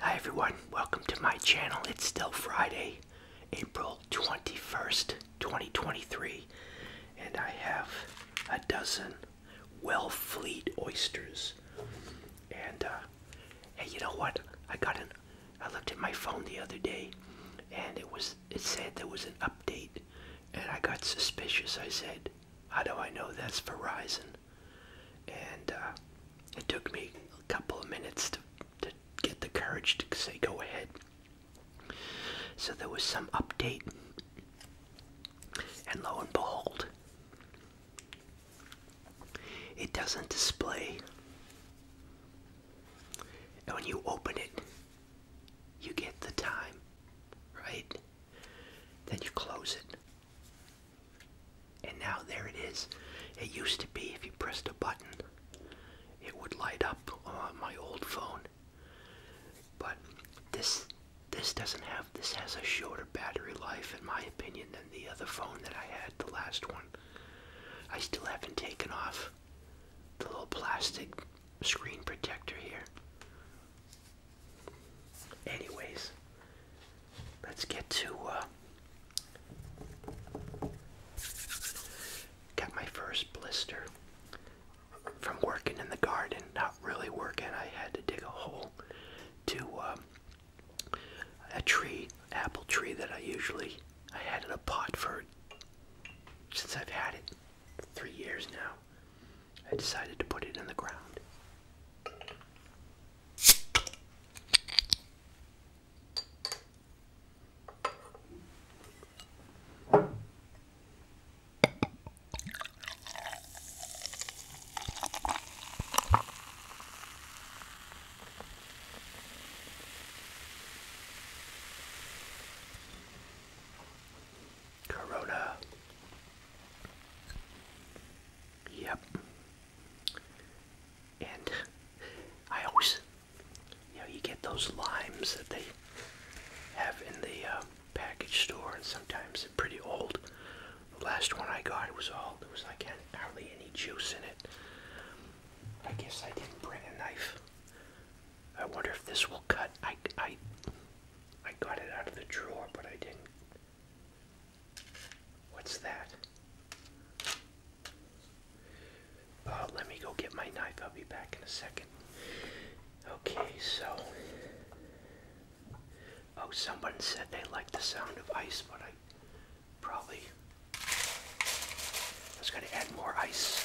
Hi everyone, welcome to my channel. It's still Friday, April 21st, 2023, and I have a dozen Wellfleet oysters. And uh, you know what? I got an I looked at my phone the other day and it was it said there was an update and I got suspicious. I said, how do I know that's Verizon? and uh, it took me a couple of minutes to, to get the courage to say go ahead. So there was some update, and lo and behold, it doesn't display. And when you open it, you get the time, right? Then you close it. And now there it is. It used to be if you pressed a button, it would light up on my old phone. But this this doesn't have this has a shorter battery life in my opinion than the other phone that I had, the last one. I still haven't taken off the little plastic screen protector here. Anyways, let's get to. Uh, my first blister from working in the garden. Not really working. I had to dig a hole to um, a tree, apple tree that I usually I had in a pot for since I've had it three years now. I decided to put it in the ground. Corona. Yep. And I always, you know, you get those limes that they have in the uh, package store, and sometimes they're pretty old. The last one I got, it was all, there was like hardly any juice in it. I guess I didn't bring a knife. I wonder if this will cut. I, I, I got it out of the drawer, but I didn't What's that? let me go get my knife. I'll be back in a second. Okay, so. Oh, someone said they like the sound of ice, but I probably. I was to add more ice.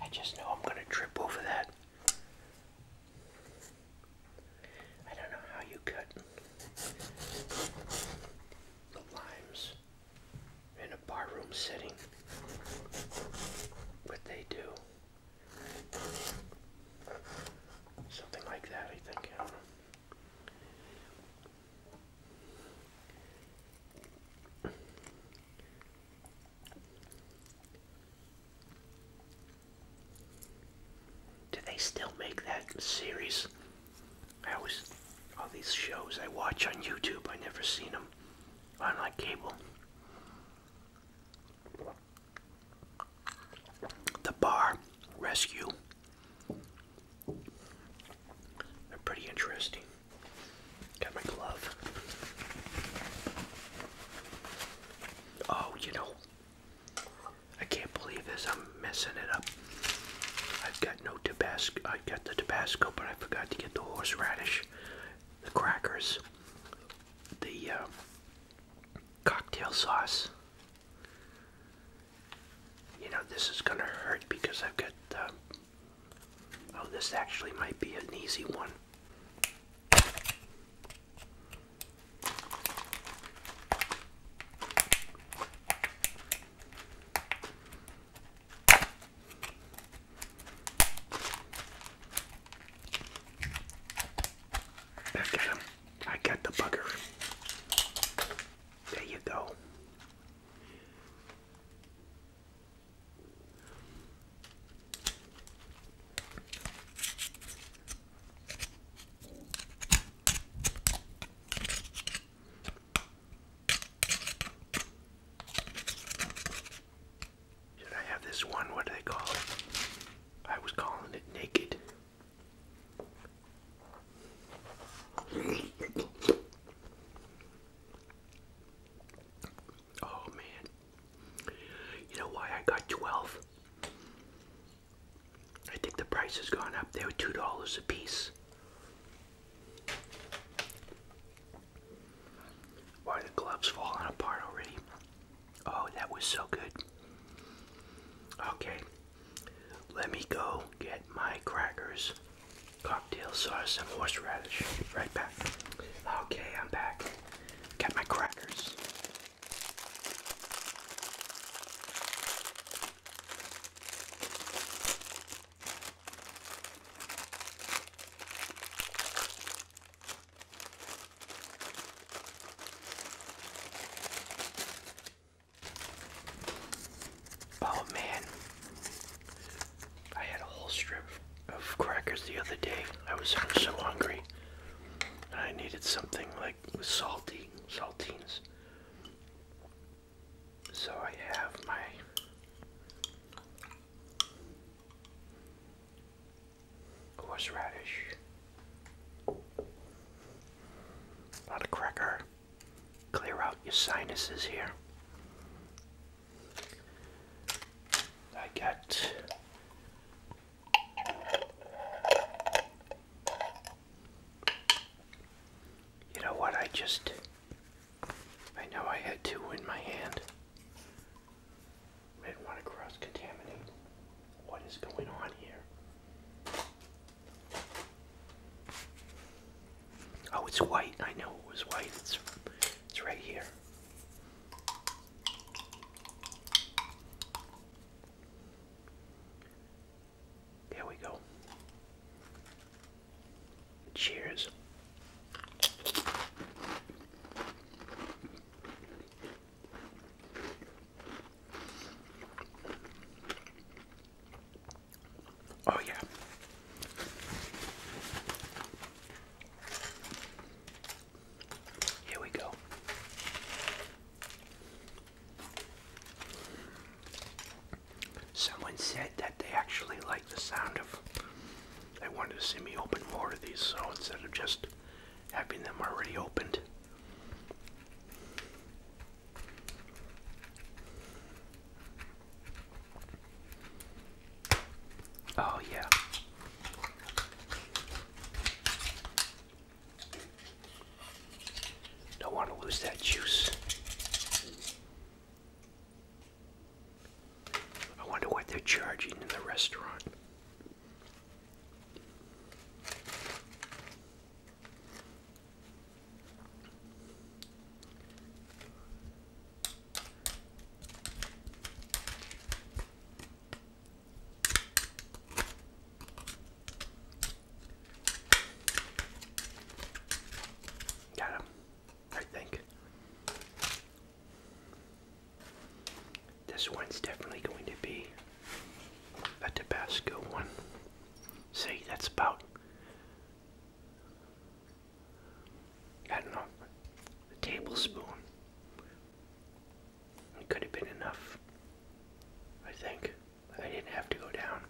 I just know I'm gonna trip over that. I don't know how you cut the limes in a barroom setting, but they do. Something like that, I think. Do they still make that series? I always, all these shows I watch on YouTube, I never seen them on like cable. The Bar Rescue. They're pretty interesting. Got my glove. Oh, you know, I can't believe this. I'm messing it up. I've got no Tabasco. I got the Tabasco, but I forgot to get the horseradish, the crackers, the uh, cocktail sauce. You know, this is gonna hurt because I've got uh, Oh, this actually might be an easy one. Back at him. I got the bugger. There you go. Should I have this one? What do they call it? I was calling it naked. Oh man. You know why I got 12? I think the price has gone up. They were $2 a piece. Why the gloves falling apart already? Oh, that was so good. Okay, let me go get my crackers cocktail sauce and horseradish. Right back. Okay, I'm back. Got my crackers. Oh man, I had a whole strip of crackers the other day. I was so hungry. And I needed something like salty, saltines. So I have my horseradish. A lot of cracker. Clear out your sinuses here. I got you know what I just I know I had two in my hand. I didn't want to cross contaminate what is going on here. Oh, it's white. I know it was white. It's it's right here. There we go. Cheers. Oh, yeah. Here we go. Someone said that they actually like the sound of. They wanted to see me open more of these, so instead of just having them already opened. Oh, yeah. Don't want to lose that juice. I wonder what they're charging in the restaurant. Got him, I think. This one's definitely going to be a Tabasco one. See, that's about I don't know, a tablespoon. It could have been enough, I think. I didn't have to go down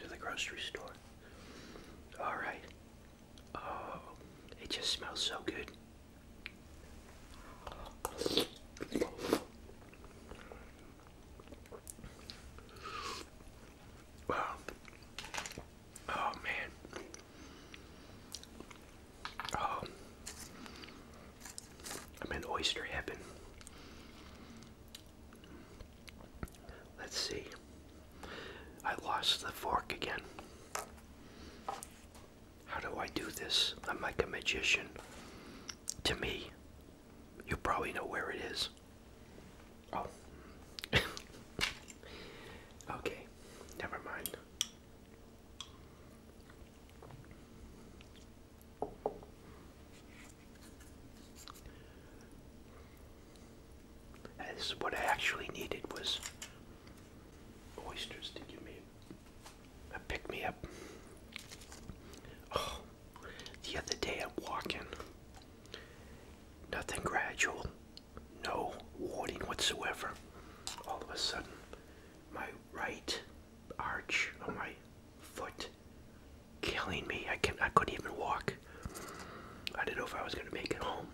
to the grocery store. Alright. Oh, it just smells so good. Wow. Oh man. Oh, I'm in oyster heaven. Let's see. I lost the fork again. How do I do this? I'm like a magician. To me, you probably know where it is. Oh. okay never mind. This is what I actually needed was oysters to give me a uh, pick me up. Oh, the other day I'm walking, nothing gradual, no warning whatsoever. All of a sudden, my right arch on my foot killing me. I can I couldn't even walk. I didn't know if I was gonna make it home.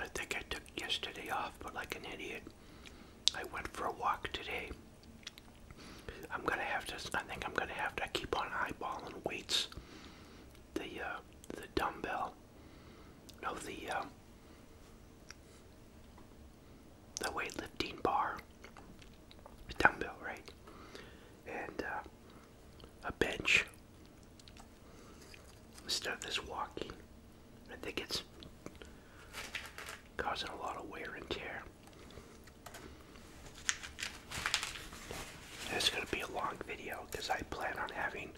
I think I took yesterday off, but like an idiot. I went for a walk today. I'm gonna have to. I think I'm gonna have to keep on eyeballing weights. The uh, the dumbbell. No, the um, the weightlifting bar. The dumbbell, right? And uh, a bench. Instead of this walking. I think it's causing a lot of wear and tear. It's going to be a long video because I plan on having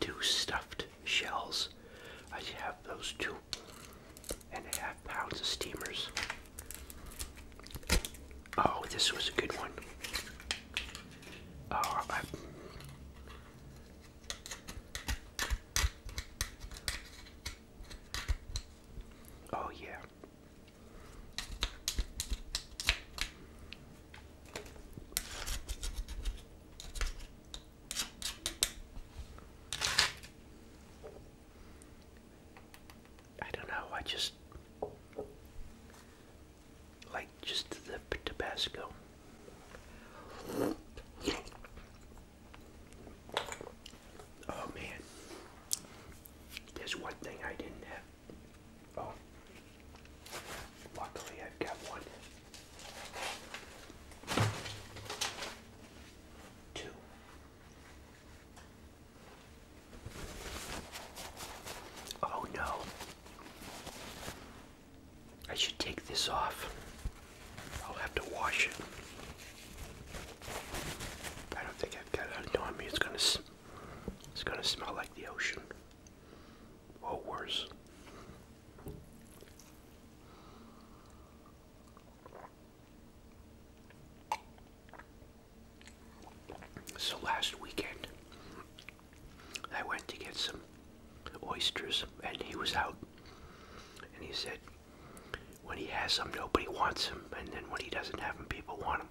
two stuffed shells. I have those two and a half pounds of steamers. Oh, this was a good one. Oh, Oh, yeah. I don't know, I just like just the Tabasco. Oh man, there's one thing I didn't have. Oh, luckily I've got one. Two. Oh no. I should take this off. I'll have to wash it. I don't think I've got it undone on It's gonna, it's gonna smell like the ocean, or worse. So last weekend, I went to get some oysters, and he was out. And he said, when he has them, nobody wants him, and then when he doesn't have them, people want him.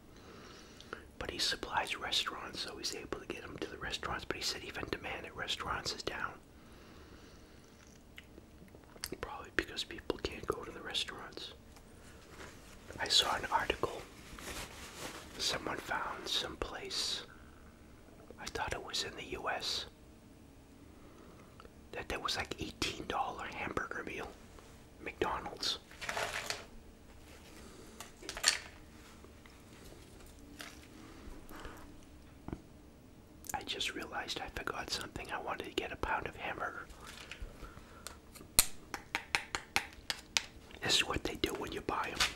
But he supplies restaurants, so he's able to get them to the restaurants. But he said even demand at restaurants is down. Probably because people can't go to the restaurants. I saw an article. Someone found some place. I thought it was in the US was that was like $18 hamburger meal McDonald's. I just realized I forgot something. I wanted to get a pound of hamburger. This is what they do when you buy them.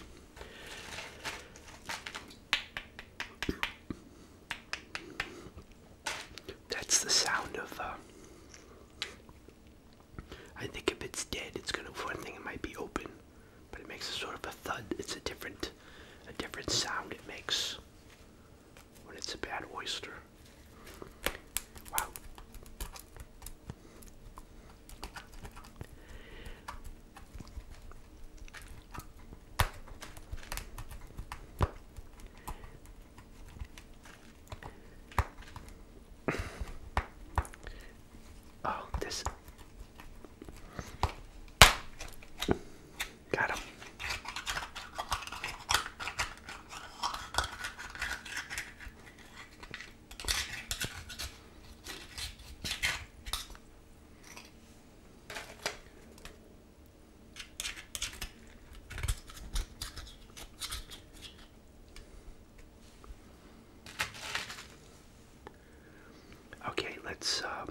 That's the sound of. Uh, I think if it's dead, it's gonna. One thing it might be open, but it makes a sort of a thud. It's a different, a different sound it makes when it's a bad oyster. Wow. Oh, this got him. Okay, let's. Um,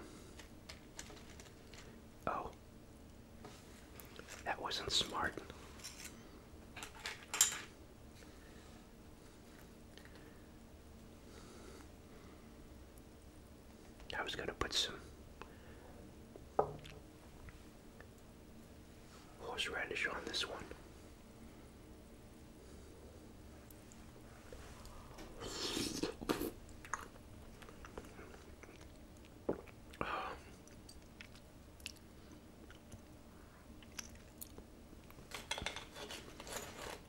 oh, that wasn't smart. I was going to put some horseradish on this one.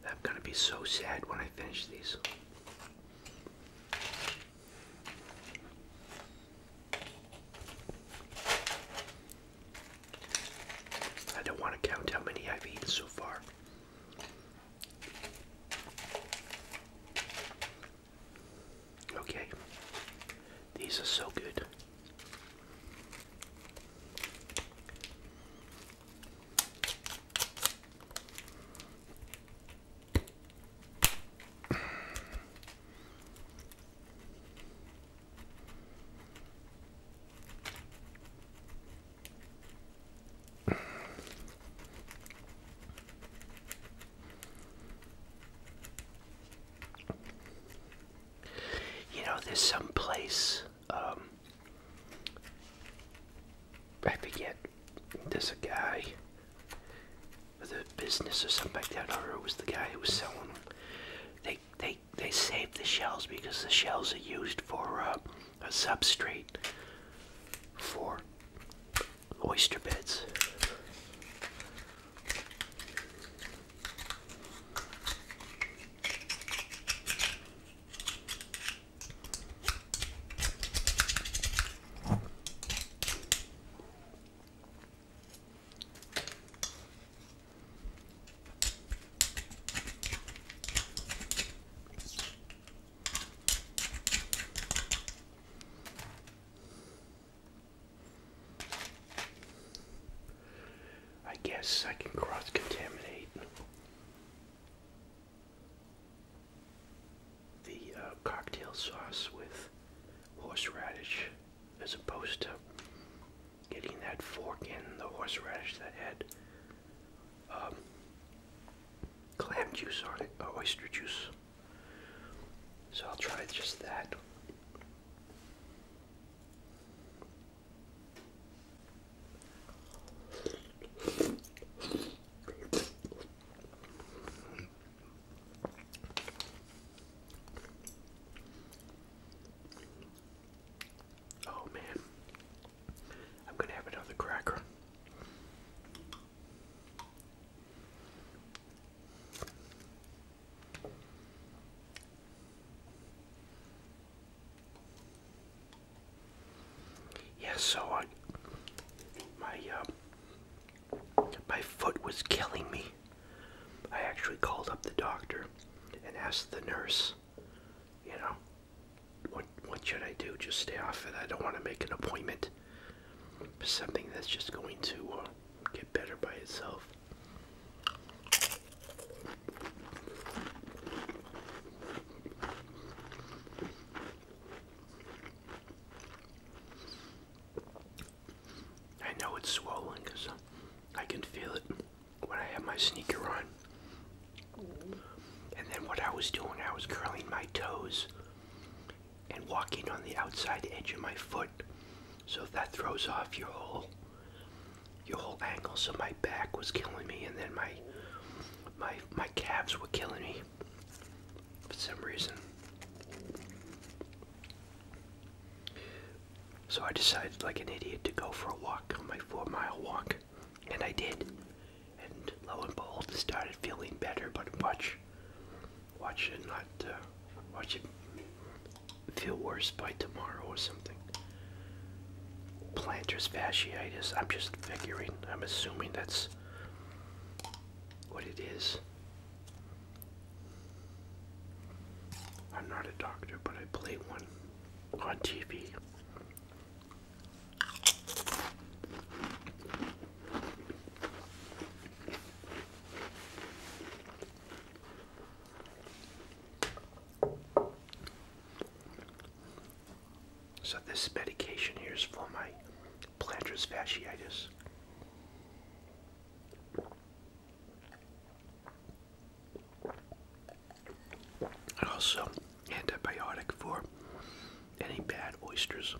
I'm going to be so sad when I finish these. I don't want to count how many I've eaten so far. Okay, these are so good. You know, there's some place um, I forget, there's a guy with a business or something like that, or it was the guy who was selling them. They, they, they save the shells because the shells are used for uh, a substrate for oyster beds. I guess I can cross contaminate the uh, cocktail sauce with horseradish as opposed to getting that fork in the horseradish that had um, clam juice on it, oyster juice. So I'll try just that. Oh, man, I'm gonna have another cracker. Yeah, so I, my um, my foot was killing me. I actually called up the doctor and asked the nurse, you know, what what should I do? Just stay off it. I don't want to make an appointment for something that's just going to uh, get better by itself. I know it's swollen because I can feel it when I have my sneaker on. And then what I was doing, I was curling my toes and walking on the outside edge of my foot. So that throws off your whole your whole angle. So my back was killing me and then my my my calves were killing me for some reason. So I decided, like an idiot, to go for a walk on my four mile walk, and I did. And lo and behold, I started feeling better, but watch, watch it not, uh, watch it feel worse by tomorrow or something. Plantar fasciitis, I'm just figuring, I'm assuming that's what it is. I'm not a doctor, but I play one on TV. So this medication here is for my plantar fasciitis. also antibiotic for any bad oysters.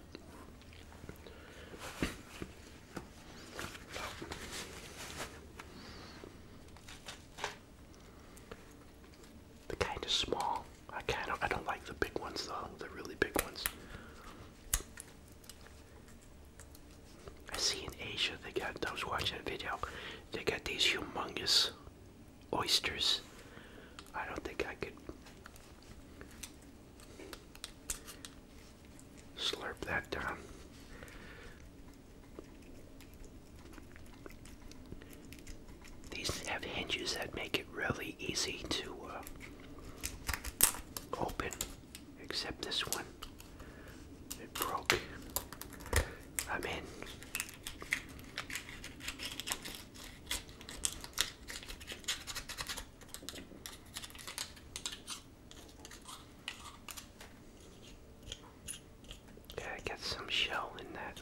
they kind of small. I can't. I don't like the big ones though. The really big ones. I see in Asia they got. I was watching a video. They got these humongous oysters. I don't think I could slurp that down. These have hinges that make it really easy to uh, open, except this one. It broke. I'm in. Gotta get some shell in that.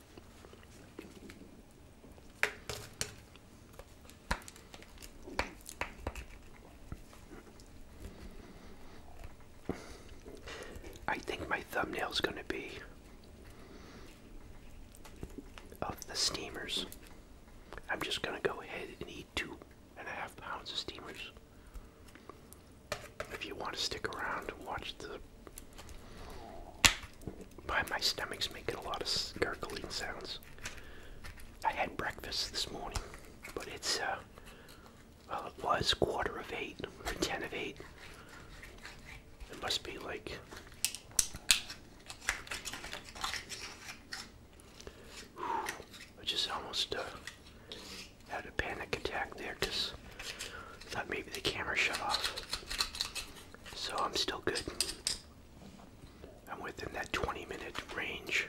I think my thumbnail is going to be of the steamers. I'm just going to go ahead and eat two and a half pounds of steamers. If you want to stick around and watch the but my stomach's making a lot of gurgling sounds. I had breakfast this morning, but it's, uh, well, it was quarter of eight or ten of eight. It must be like I just almost uh, had a panic attack there because I thought maybe the camera shut off. So I'm still good. I'm within that 20 minute range.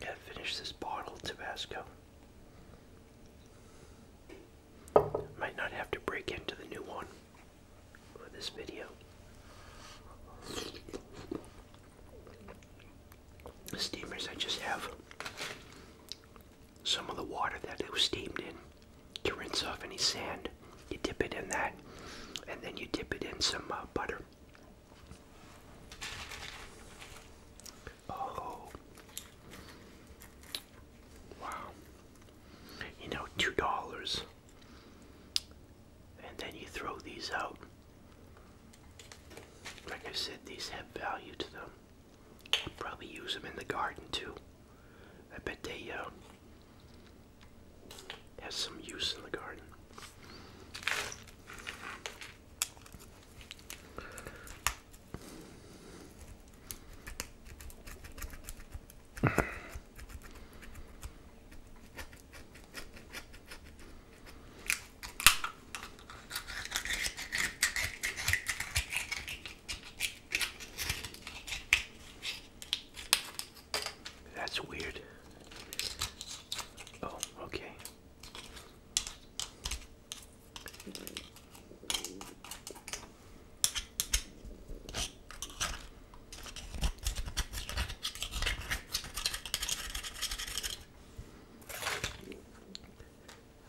Gotta finish this bottle Tabasco. Might not have to break into the new one for this video. The steamers, I just have some of the water that it was steamed in to rinse off any sand. You dip it in that, and then you dip it in some uh, butter. Oh. Wow. You know, two dollars. And then you throw these out. Like I said, these have value to them. I'll probably use them in the garden too. I bet they uh, have some use in the garden. That's weird. Oh, okay.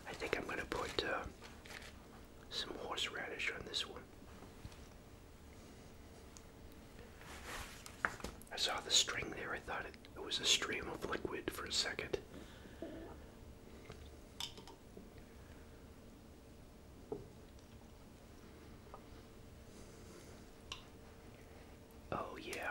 I think I'm going to put uh, some horseradish on this one. I saw the string there, I thought it. It was a stream of liquid for a second. Oh, yeah.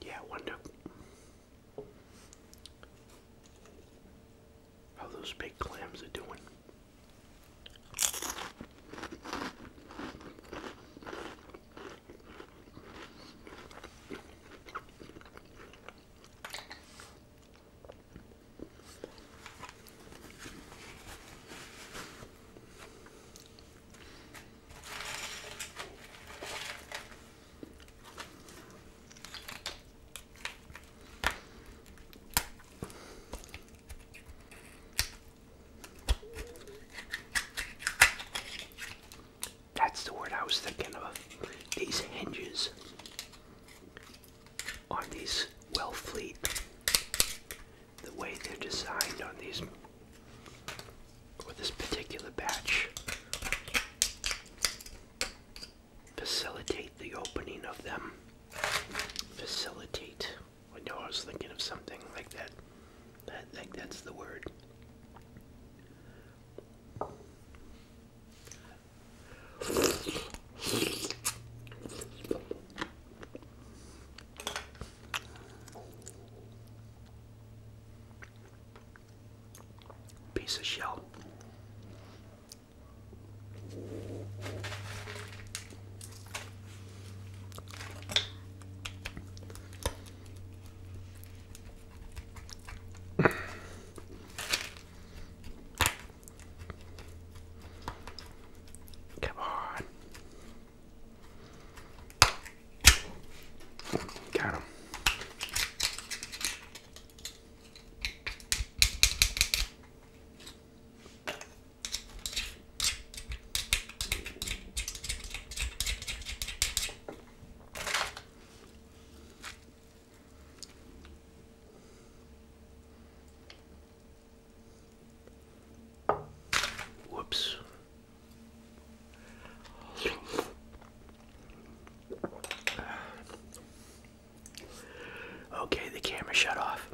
Yeah, wonder how those big clams are doing. That's the word I was thinking of. These hinges on these Wellfleet, the way they're designed on these with this particular batch facilitate the opening of them. Facilitate. I know I was thinking of something like that. I think that's the word. Piece of shell. Come on. Got him. Whoops. Okay, the camera shut off.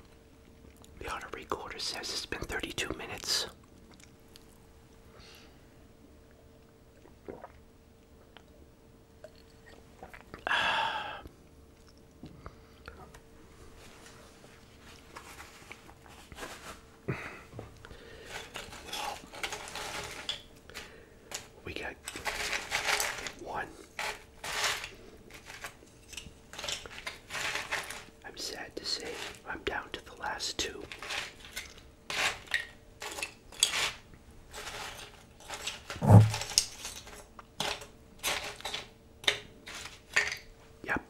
The auto recorder says it's been 32 minutes. We got one. I'm sad to say I'm down to the last two. Yep.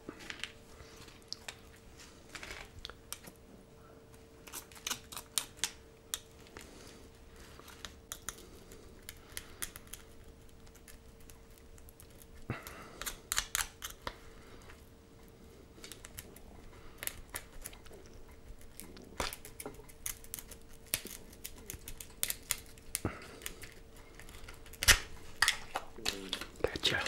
Gotcha.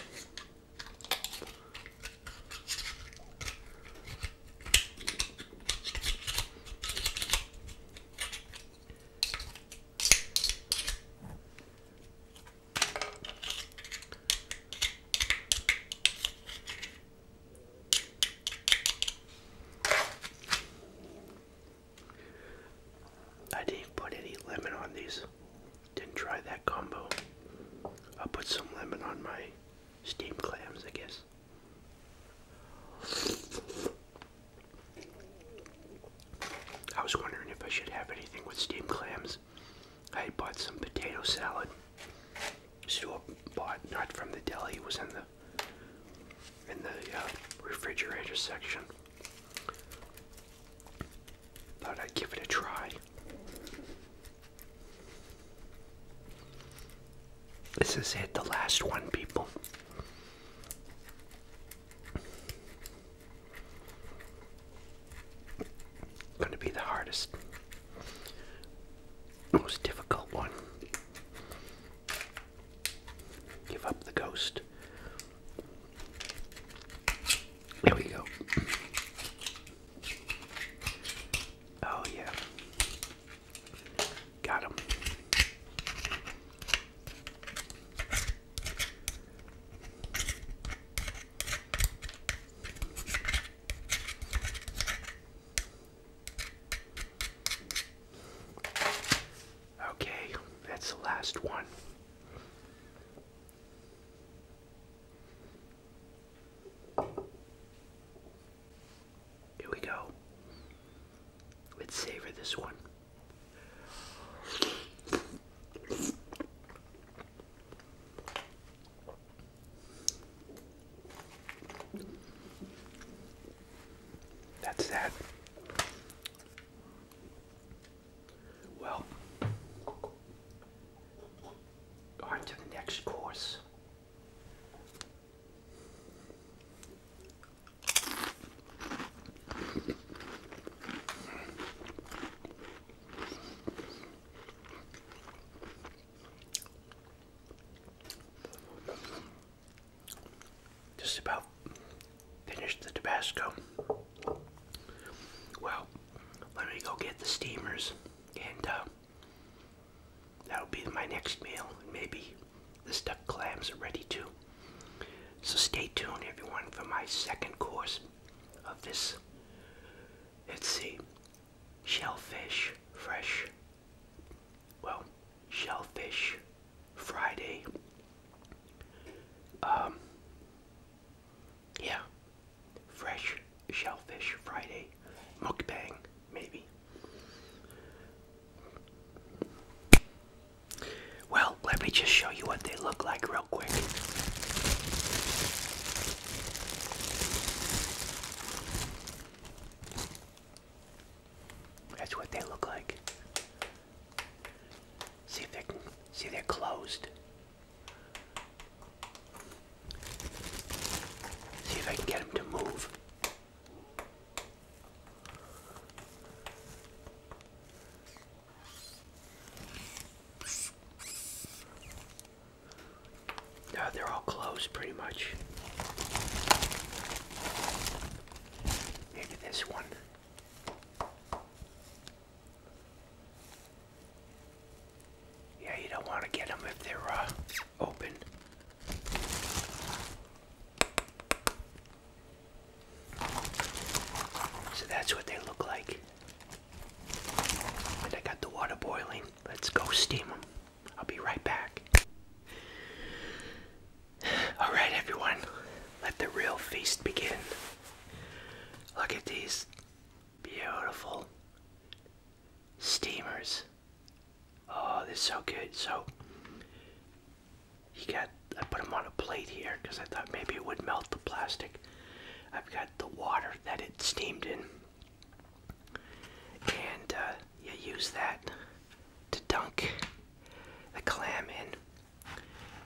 I didn't put any lemon on these. Didn't try that combo. I'll put some lemon on my steam clams, I guess. I was wondering if I should have anything with steam clams. I bought some potato salad. Still bought not from the deli. It was in the in the uh, refrigerator section. Thought I'd give it a try. This is it, the last one, people. Gonna be the hardest, most difficult one. Give up the ghost. There we go. Oh, yeah. Got him. Okay, that's the last one. Here we go. Let's savor this one. That's that. Well, on to the next course. Just about finished the Tabasco. Well, let me go get the steamers, and uh, that'll be my next meal. Maybe the stuffed clams are ready too. So stay tuned, everyone, for my second course of this. Let's see, shellfish fresh. Well, shellfish Friday. Um, yeah, Fresh Shellfish Friday mukbang, maybe. Well, let me just show you what they look like real quick. That's what they look like. See if they can see they're closed. See if I can get him to move. Uh, they're all closed pretty much. Maybe this one. Yeah, you don't want to get them if they're uh, open. So that's what they look like. And I got the water boiling. Let's go steam them. I'll be right back. Alright, everyone, let the real feast begin. Look at these Beautiful. Steamers. Oh, this is so good. So, you got, I put them on a plate here because I thought maybe it would melt the plastic. I've got the water that it steamed in. And uh, you use that to dunk the clam in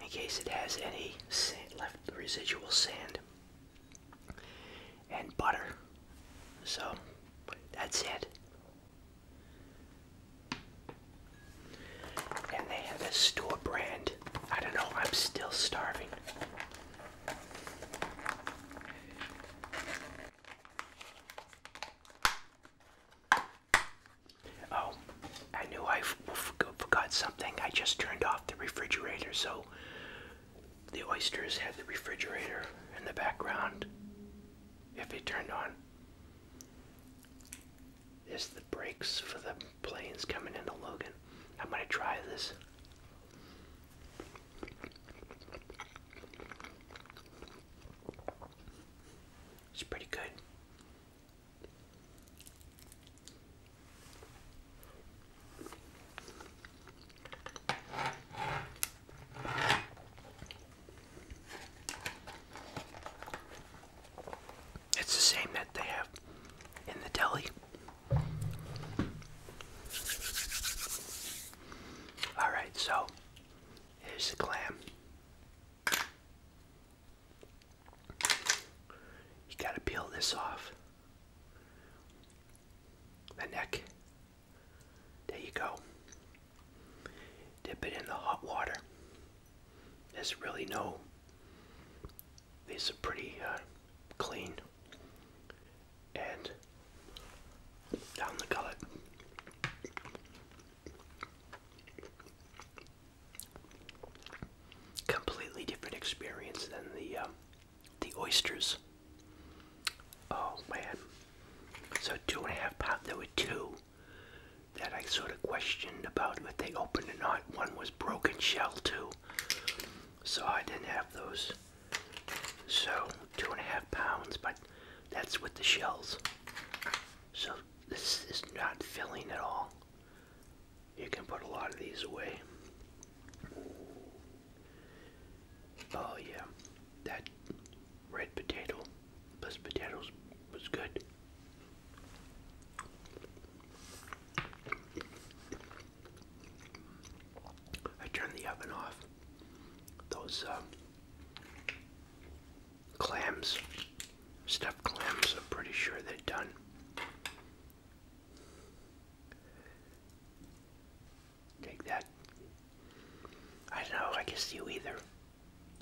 in case it has any sand, left residual sand and butter. So that's it. And they have a store brand. I don't know, I'm still starving. Oh, I knew I forgot something. I just turned off the refrigerator, so the oysters had the refrigerator in the background. If they turned on, is the brakes for the planes coming into Logan. I'm gonna try this. It's pretty good. It's the same that they have in the deli. All right, so here's the clam. You gotta peel this off the neck. There you go. Dip it in the hot water. There's really no. These are pretty uh, clean. And down the gullet. Completely different experience than the um, the oysters. Oh man. So two and a half pounds. There were two that I sort of questioned about if they opened or not. One was broken shell too. So I didn't have those. So two and a half pounds, but that's with the shells. So this is not filling at all. You can put a lot of these away. Oh yeah, that red potato plus potatoes was good. I turned the oven off. Those um, clams, stuffed clams, I'm pretty sure they're done. Take that. I don't know, I guess you either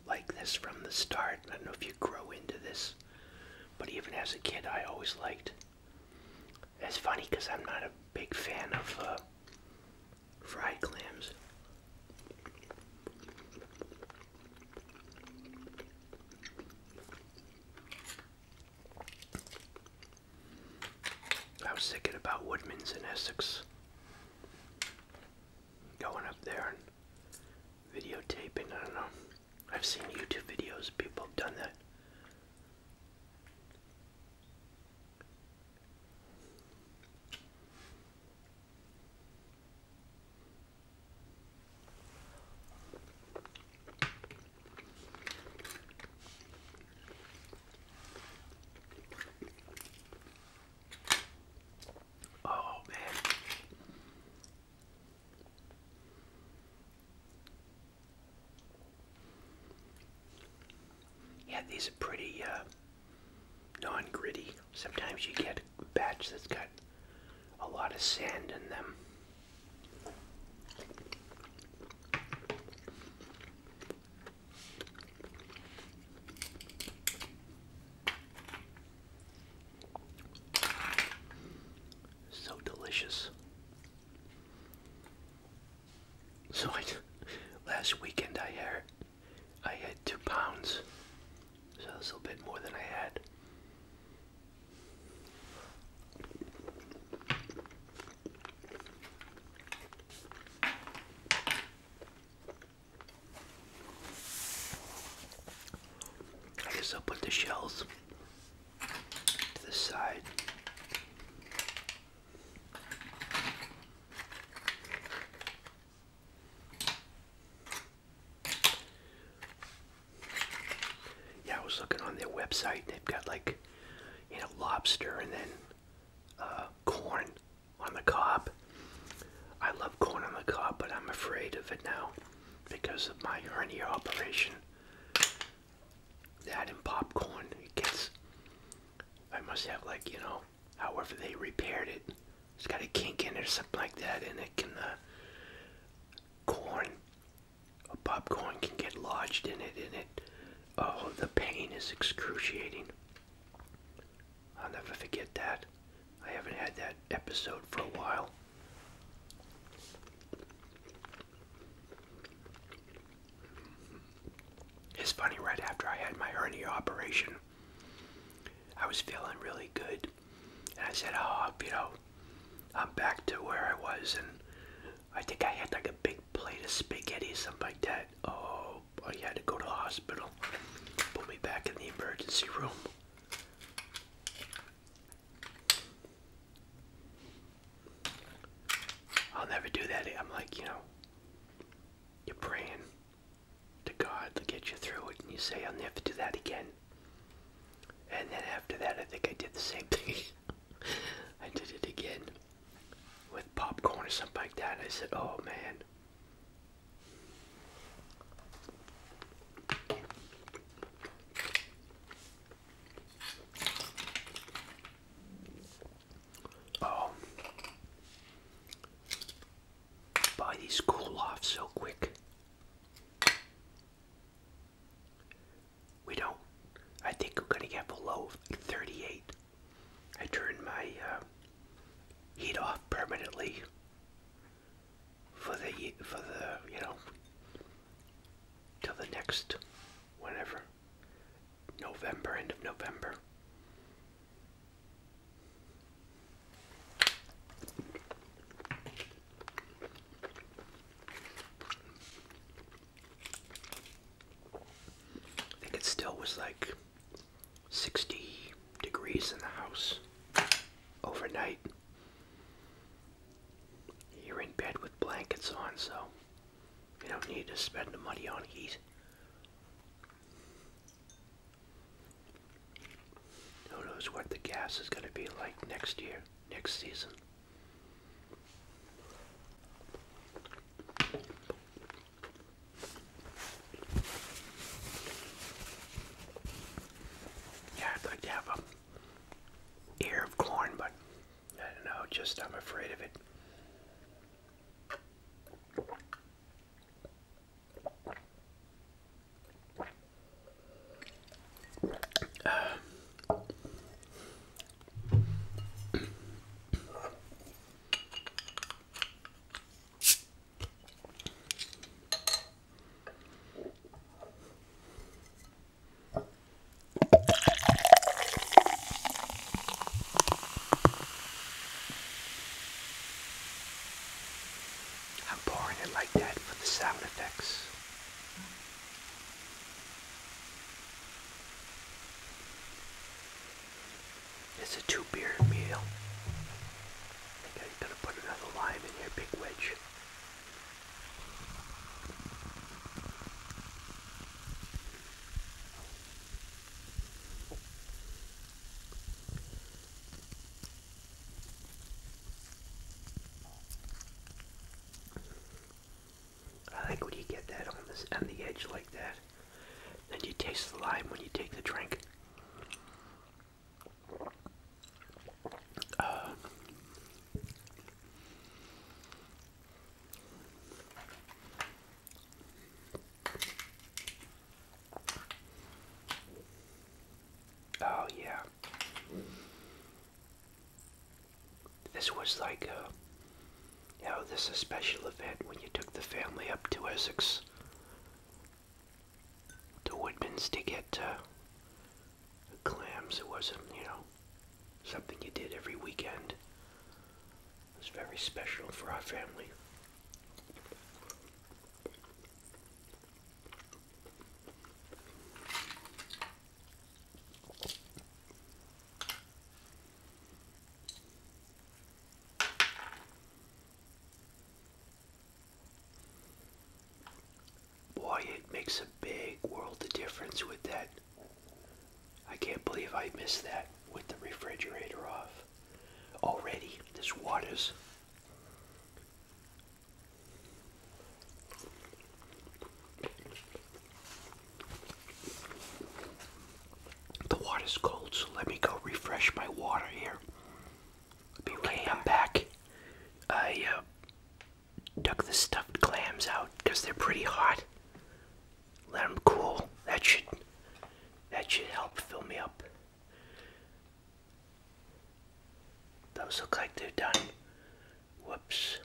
like this from the start. I don't know if you grow into this, but even as a kid, I always liked. It's funny because I'm not a big fan of uh, fried clams. I was thinking about Woodman's in Essex. Going up there and videotaping, I don't know. I've seen YouTube videos, people have done that. Oh man. Yeah, these are pretty uh, non-gritty. Sometimes you get a batch that's got a lot of sand in them. So delicious. So I, last weekend I had I had two pounds. So that's a little bit more than I had. I guess I'll put the shells to the side. Yeah, I was looking on their website. They've got like you know, lobster and then uh, corn on the cob. I love corn on the cob, but I'm afraid of it now because of my hernia operation. That and popcorn, it gets, I must have like, you know, however they repaired it. It's got a kink in it or something like that, and it can, uh, corn a popcorn can get lodged in it, and it, oh, the pain is excruciating. I'll never forget that. I haven't had that episode for a while. It's funny, right after I had my hernia operation, I was feeling really good. And I said, oh, you know, I'm back to where I was. And I think I had like a big plate of spaghetti or something like that. Oh, I had to go to the hospital. Put me back in the emergency room. I'll never do that. I'm like, you know, you're praying to God to get you through it, and you say, I'll never do that again. And then after that, I think I did the same thing. I did it again with popcorn or something like that. And I said, oh man. Oh, buy these cool off so quick we don't. I think we're gonna get below 38. I turned my uh, heat off permanently for the for the you know till the next whenever November end of November. I think it still was like 60 degrees in the house overnight. You're in bed with blankets on, so you don't need to spend the money on heat. Who knows what the gas is going to be like next year, next season. Yeah, I'd like to have a ear of corn, but I don't know, just I'm afraid of it. I'm pouring it like that for the sound effects. It's a two beer meal. I think I'm to put another lime in here, big wedge. I like when you get that on the edge like that. Then you taste the lime when you take the drink. Uh, oh, yeah this was like a, you know, this special event when you took the family up to Essex, to Woodman's to get uh, clams. It wasn't, you know, something you did every weekend. It was very special for our family. Boy, it makes a big world of difference with that. I can't believe I missed that with the refrigerator off. Already, this water's the water's cold, so let me go refresh my water here. Be okay, I'm back. I uh, the stuffed clams out because they're pretty hot. Let them cool. That should that should help fill me up. Those look like they're done. Whoops.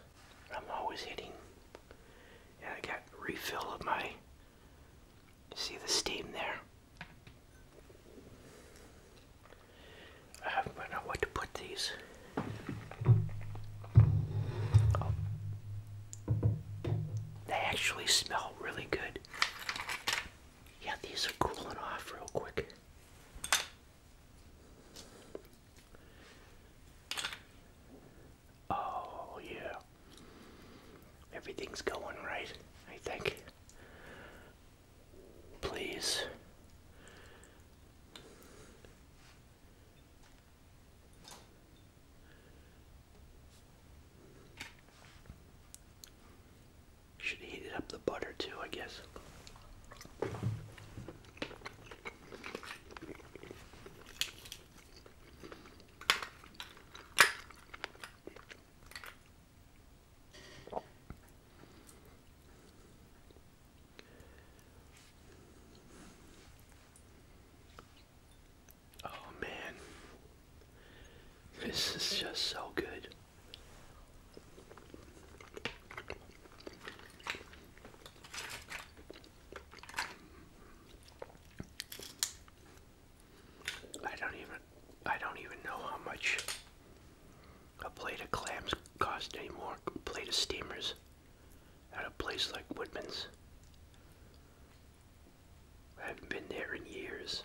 I'm always hitting. And I got refill of my. See the steam there? I haven't know what to put these. Oh. They actually smell really good. Yeah, these are cooling off real quick. Oh, yeah. Everything's going right, I think. Please. Should have up the butter too, I guess. Oh man, this is just so good. I don't even I don't even know how much a plate of clams cost anymore. A plate of steamers at a place like Woodman's. I haven't been there in years.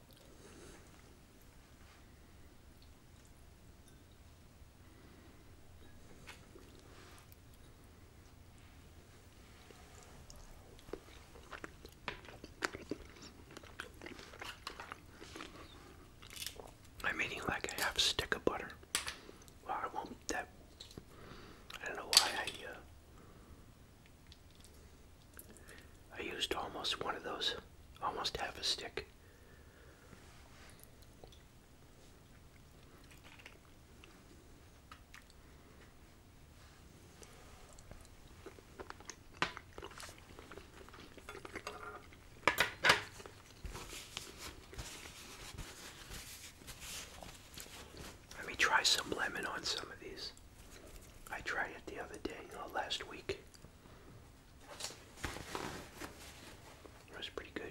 I'm eating like a half stick of butter. Well, I will That I don't know why I uh, I used almost one of those, almost half a stick. Let me try some lemon on some of these. I tried it the other day, or last week. It was pretty good.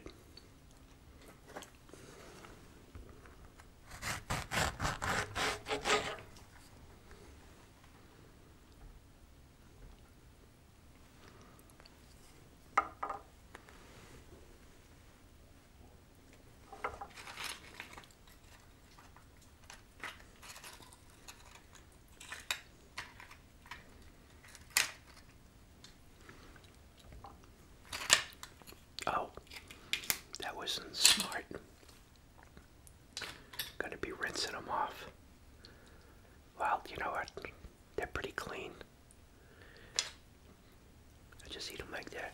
Oh, that wasn't smart. Gonna be rinsing them off. Well, you know what? They're pretty clean. I just eat them like that.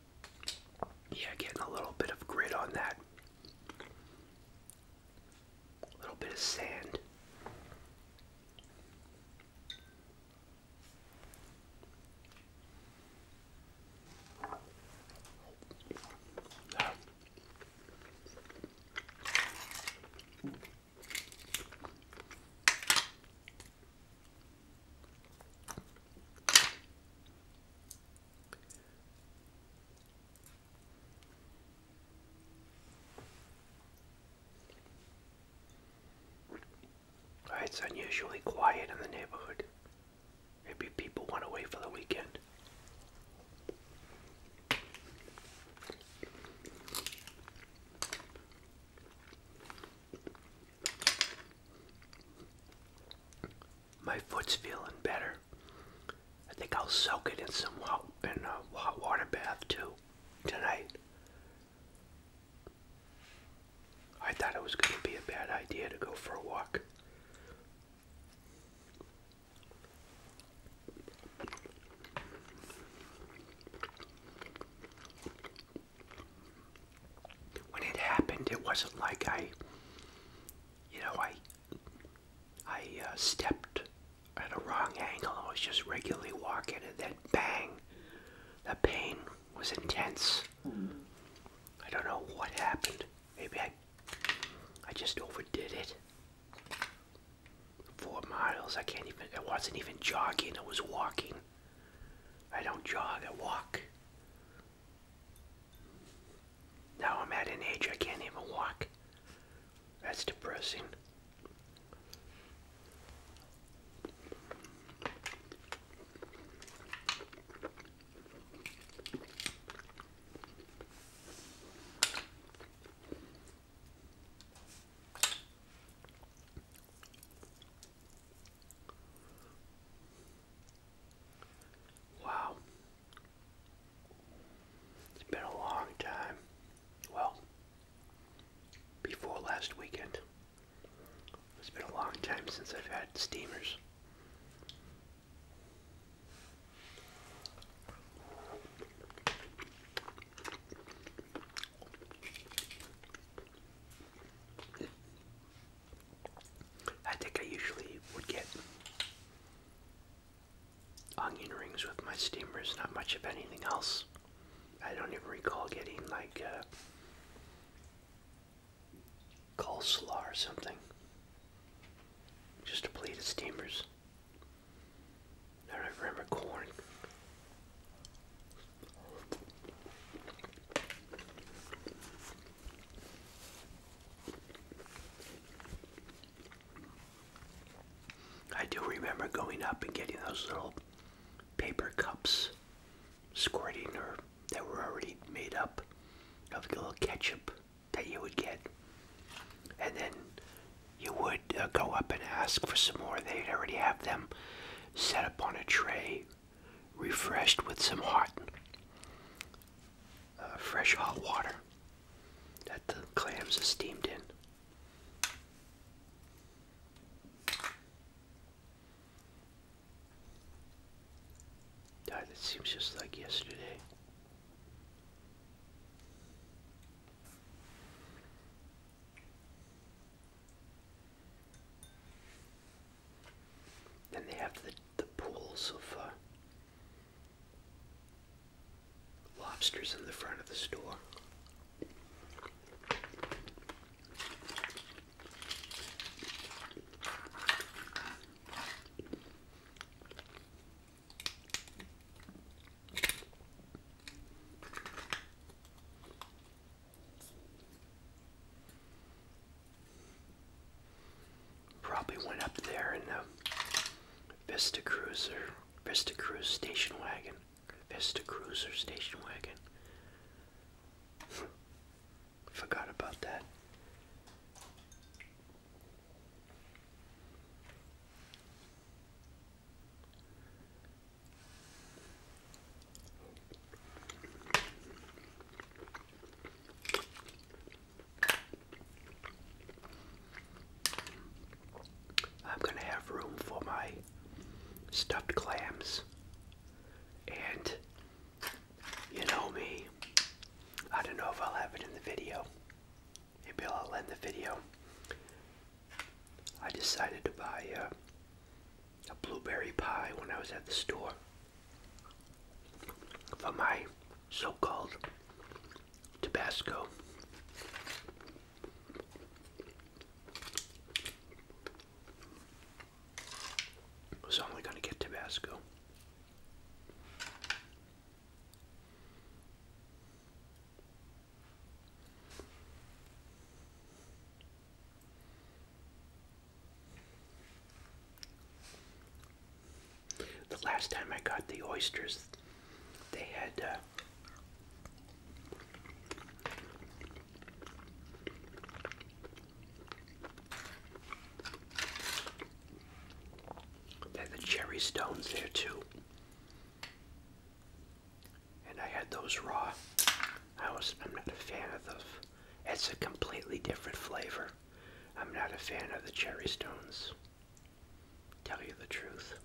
Yeah, getting a little bit of grit on that. A little bit of sand. It's unusually quiet in the neighborhood. Maybe people went away for the weekend. My foot's feeling better. I think I'll soak it in some hot, in a hot water bath too tonight. I thought it was going to be a bad idea to go for a walk when it happened, it wasn't like I, you know, I, I uh, stepped at a wrong angle. I was just regularly walking, and then bang, the pain was intense. Mm-hmm. I don't know what happened. Maybe I, I just overdid it. Four miles. I can't even. I wasn't even jogging. I was walking. I don't jog, I walk. Now I'm at an age I can't even walk. That's depressing. Wow. It's been a long time. Well, before last weekend. It's been a long time since I've had steamers. I think I usually would get onion rings with my steamers, not much of anything else. I don't even recall getting like uh, coleslaw or something. Just a plate of steamers. I don't remember corn. I do remember going up and getting those little paper cups squirting or that were already made up of the little ketchup that you would get. And then you would uh, go up and ask for some more. They'd already have them set up on a tray refreshed with some hot, uh, fresh hot water that the clams are steamed in. God, it seems just like yesterday. Then they have the, the pools of uh, lobsters in the front of the store. Probably went up there in the Vista Cruiser, Vista Cruiser station wagon, Vista Cruiser station wagon. Forgot about that. I'm going to have room for my stuffed clams. And you know me, I don't know if I'll have it in the video. Maybe I'll end the video. I decided to buy a, a blueberry pie when I was at the store for my so-called Tabasco. I was only going to get Tabasco. The last time I got the oysters, they had uh, they had the cherry stones there too, and I had those raw. I was I'm not a fan of It's a completely different flavor. I'm not a fan of the cherry stones. Tell you the truth.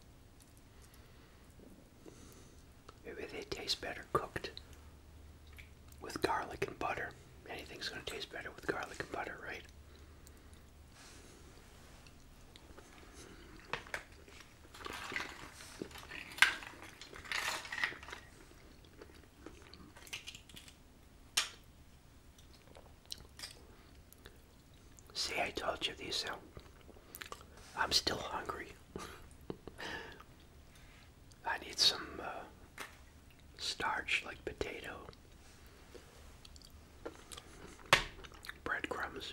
Maybe they taste better cooked with garlic and butter. Anything's gonna taste better with garlic and butter, right? See, I told you this. sound. I'm still hungry. I need some uh, starch like potato, breadcrumbs.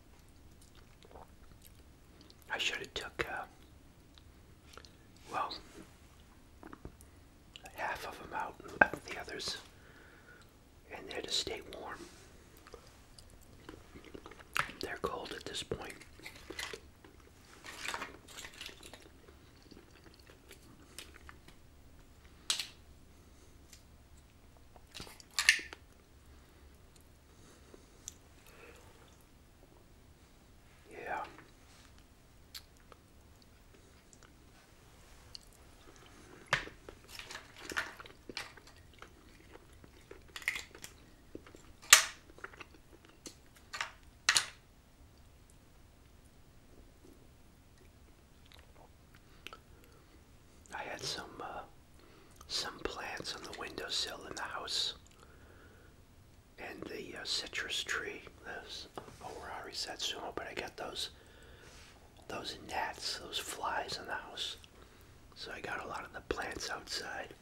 I should have took, uh, well, half of them out the others in there to stay warm. They're cold at this point. Yeah. I had some uh, some plants on the windowsill in the house, and the uh, citrus tree. Oh, Those Horari Satsumo, but I got those those gnats, those flies in the house. So I got a lot of the plants outside.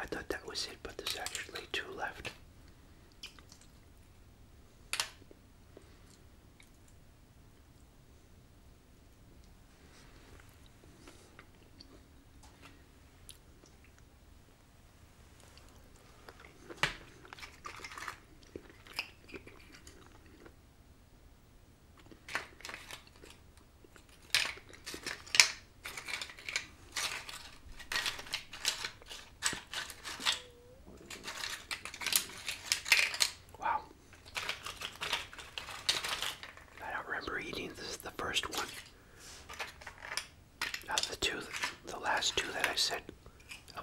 I thought that was it, but there's actually two left. Wow. I don't remember eating this the first one. of the two, the last two that I said. Oh.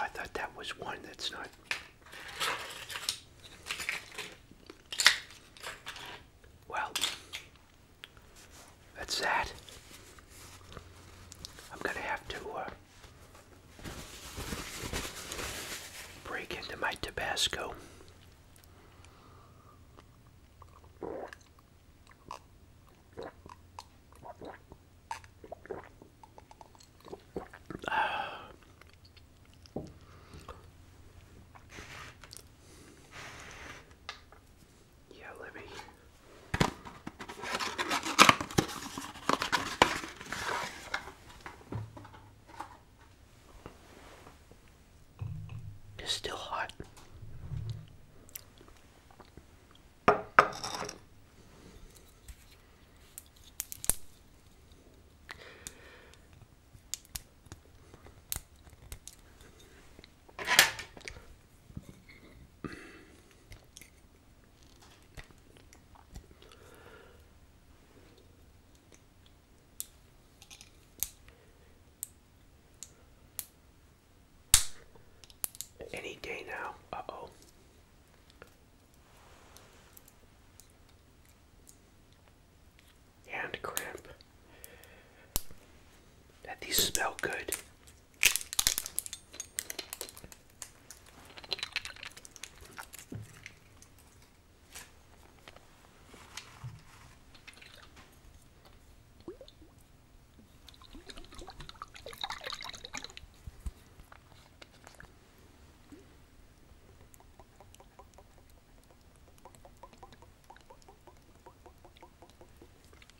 I thought that was one that's not. Well, that's that. I'm going to have to uh, break into my Tabasco. Yeah, let me. It's still hot. Any day now. Uh oh and cramp. that these smell good.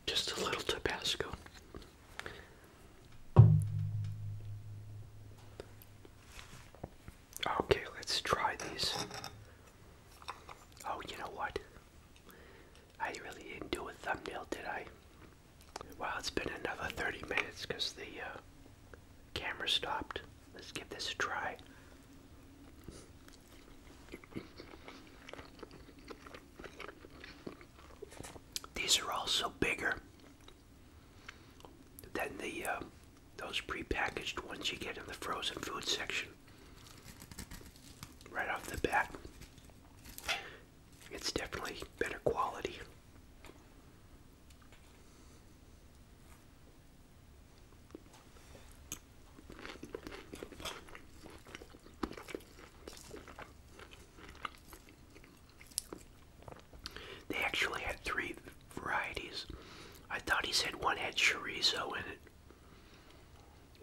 Just a little Tabasco. Okay, let's try these. Oh, you know what? I really didn't do a thumbnail, did I? Well, it's been another 30 minutes because the uh, camera stopped. Let's give this a try. These are also bigger than the uh, those prepackaged ones you get in the frozen food section. Right off the bat, it's definitely better quality. They actually had three varieties. I thought he said one had chorizo in it.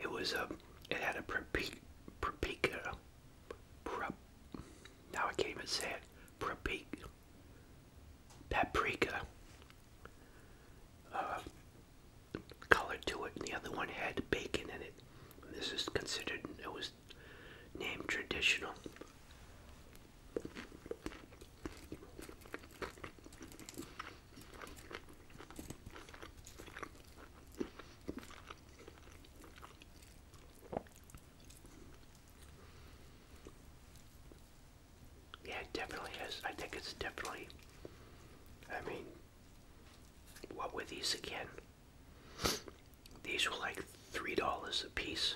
It was a, um, it had a paprika, now I can't even say it, paprika, paprika uh, to it, the other one had bacon in it. this is considered, it was named traditional. Yeah, it definitely is. I think it's definitely. I mean, what were these again? These were like three dollars a piece.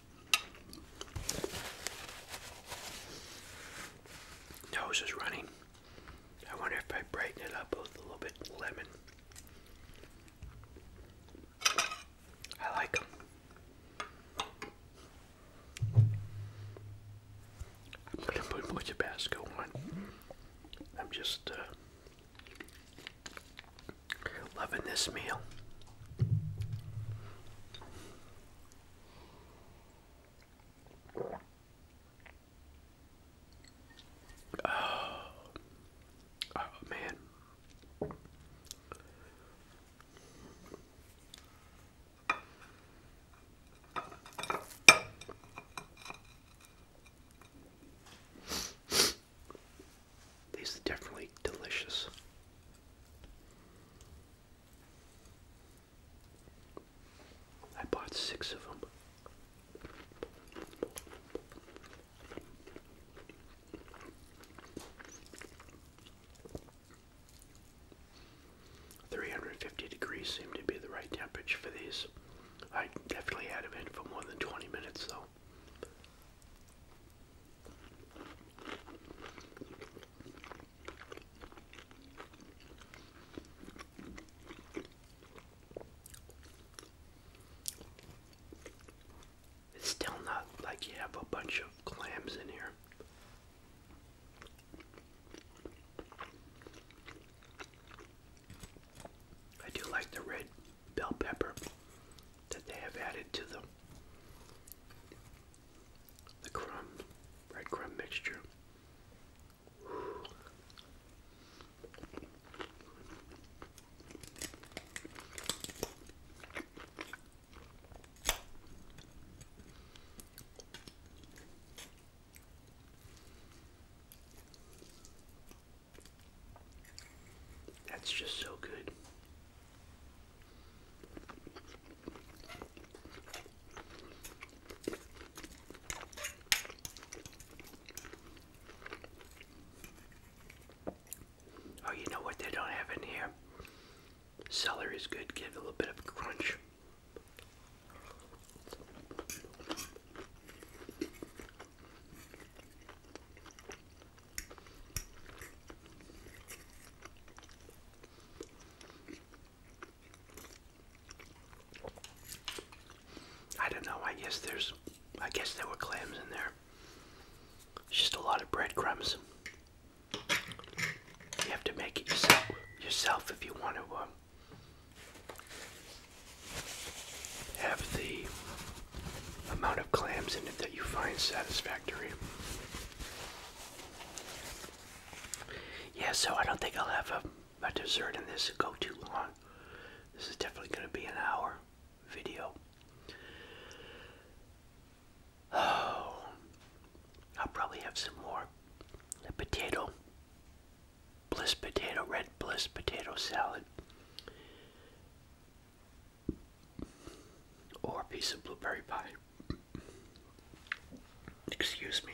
Nose is running. I wonder if I brighten it up with a little bit lemon. I like them. I'm gonna put more Tabasco on. I'm just uh, loving this meal. Oh, oh man. These are definitely delicious. I bought six of them. Three hundred and fifty degrees seemed to be the right temperature for these. I definitely had them in for more than twenty minutes though. It's still not like you have a bunch of clams in here. I do like the red bell pepper that they have added to them the crumb, bread mixture. That's just so good. Oh, you know what they don't have in here? Celery is good, give it a little bit of crunch. I don't know, I guess there's, I guess there were clams in there. It's just a lot of breadcrumbs. You have to make it yourself, if you want to um, have the amount of clams in it that you find satisfactory. Yeah, so I don't think I'll have a, dessert in this go too long. This is definitely going to be an hour video. Oh, I'll probably have some more. The potato, bliss potato, red bliss potato salad or a piece of blueberry pie. Excuse me.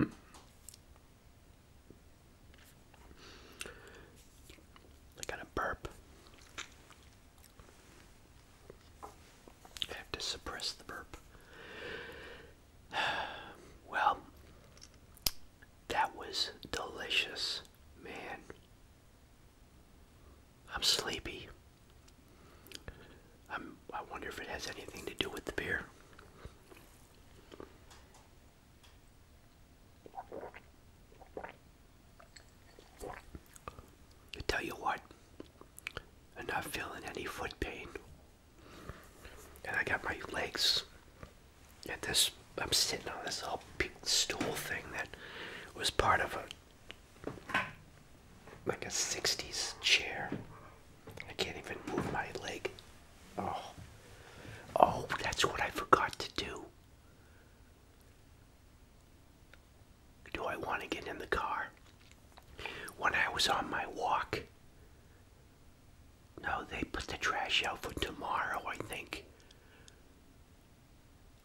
I got a burp. I have to suppress the burp. Well, that was delicious, man. I'm sleepy. I'm, I wonder if it has anything to do with the beer. I tell you what, I'm not feeling any foot pain. And I got my legs at this, I'm sitting on this little stool thing that was part of a like a 60s chair. I can't even move my leg. Oh. Oh, that's what I forgot to do. Do I want to get in the car? When I was on my walk. No, they put the trash out for tomorrow, I think.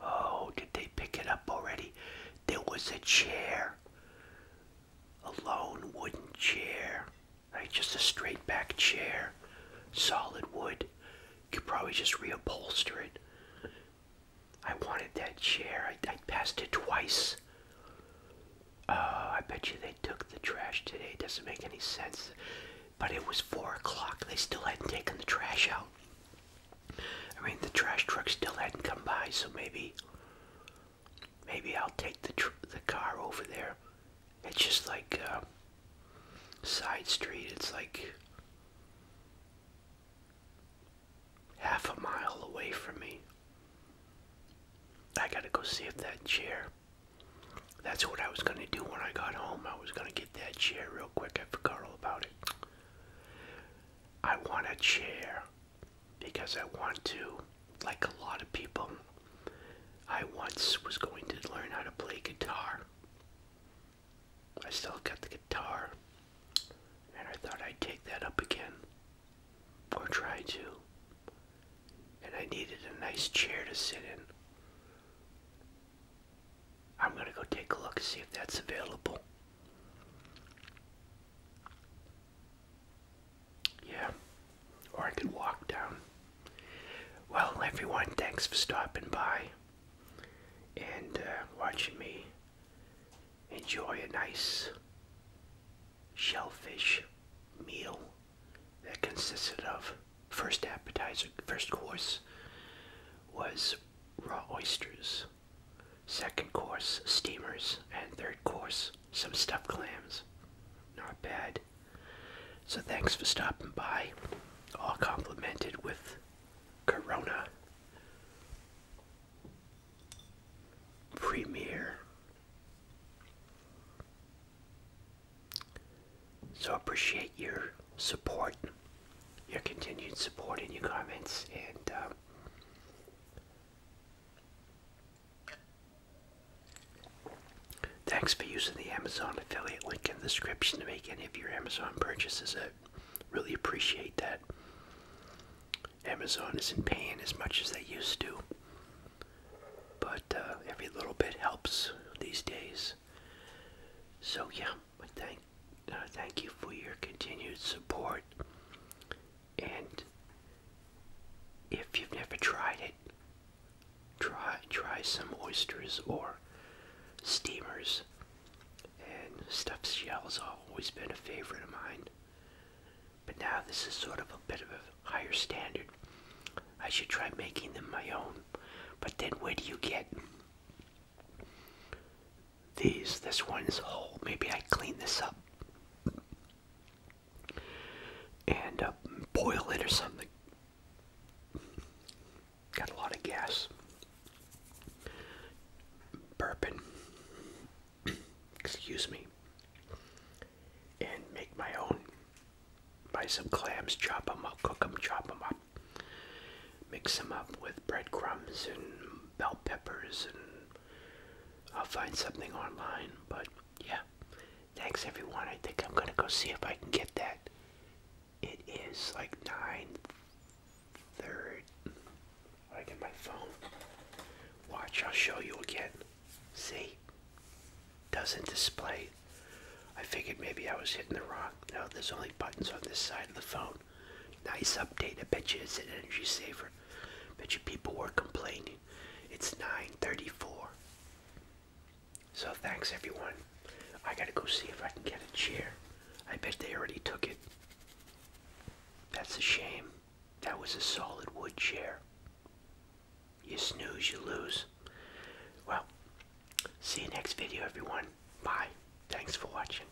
Oh, did they pick it up already? There was a chair. A lone wooden chair. Right? Just a straight back chair. Solid wood. You could probably just reupholster it. I wanted that chair. I, passed it twice. Oh, I bet you they took the trash today. It doesn't make any sense. But it was 4 o'clock. They still hadn't taken the trash out. I mean, the trash truck still hadn't come by, so maybe, maybe I'll take the the car over there. It's just like uh, side street. It's like half a mile away from me. I gotta go see if that chair. That's what I was gonna do when I got home. I was gonna get that chair real quick. I forgot all about it. I want a chair because I want to, like a lot of people, I once was going to learn how to play guitar. I still got the guitar, and I thought I'd take that up again, or try to. And I needed a nice chair to sit in. I'm gonna go take a look, see if that's available. Yeah, or I could walk down. Well, everyone, thanks for stopping by and uh, watching me enjoy a nice shellfish meal that consisted of first appetizer, first course was raw oysters Second course, steamers. And third course, some stuffed clams. Not bad. So thanks for stopping by. All complimented with Corona. Premier. So appreciate your support, your continued support and your comments, and uh, Thanks for using the Amazon affiliate link in the description to make any of your Amazon purchases. I really appreciate that. Amazon isn't paying as much as they used to, but uh, every little bit helps these days. So, yeah. But thank, uh, thank you for your continued support. And if you've never tried it, try try some oysters or steamers. And stuffed shell's always been a favorite of mine. But now this is sort of a bit of a higher standard. I should try making them my own. But then where do you get these, this one's is whole. Maybe I clean this up and uh, boil it or something. Got a lot of gas. Bourbon. Excuse me. And make my own. Buy some clams, chop them up, cook them, chop them up. Mix them up with breadcrumbs and bell peppers and I'll find something online. But yeah, thanks everyone. I think I'm gonna go see if I can get that. It is like nine third. I get my phone. Watch, I'll show you again. See? Doesn't display. I figured maybe I was hitting the wrong. No, there's only buttons on this side of the phone. Nice update. I bet you it's an energy saver. Bet you people were complaining. It's 9:34. So thanks everyone. I gotta go see if I can get a chair. I bet they already took it. That's a shame. That was a solid wood chair. You snooze, you lose. Well, see you next video everyone. Bye. Thanks for watching.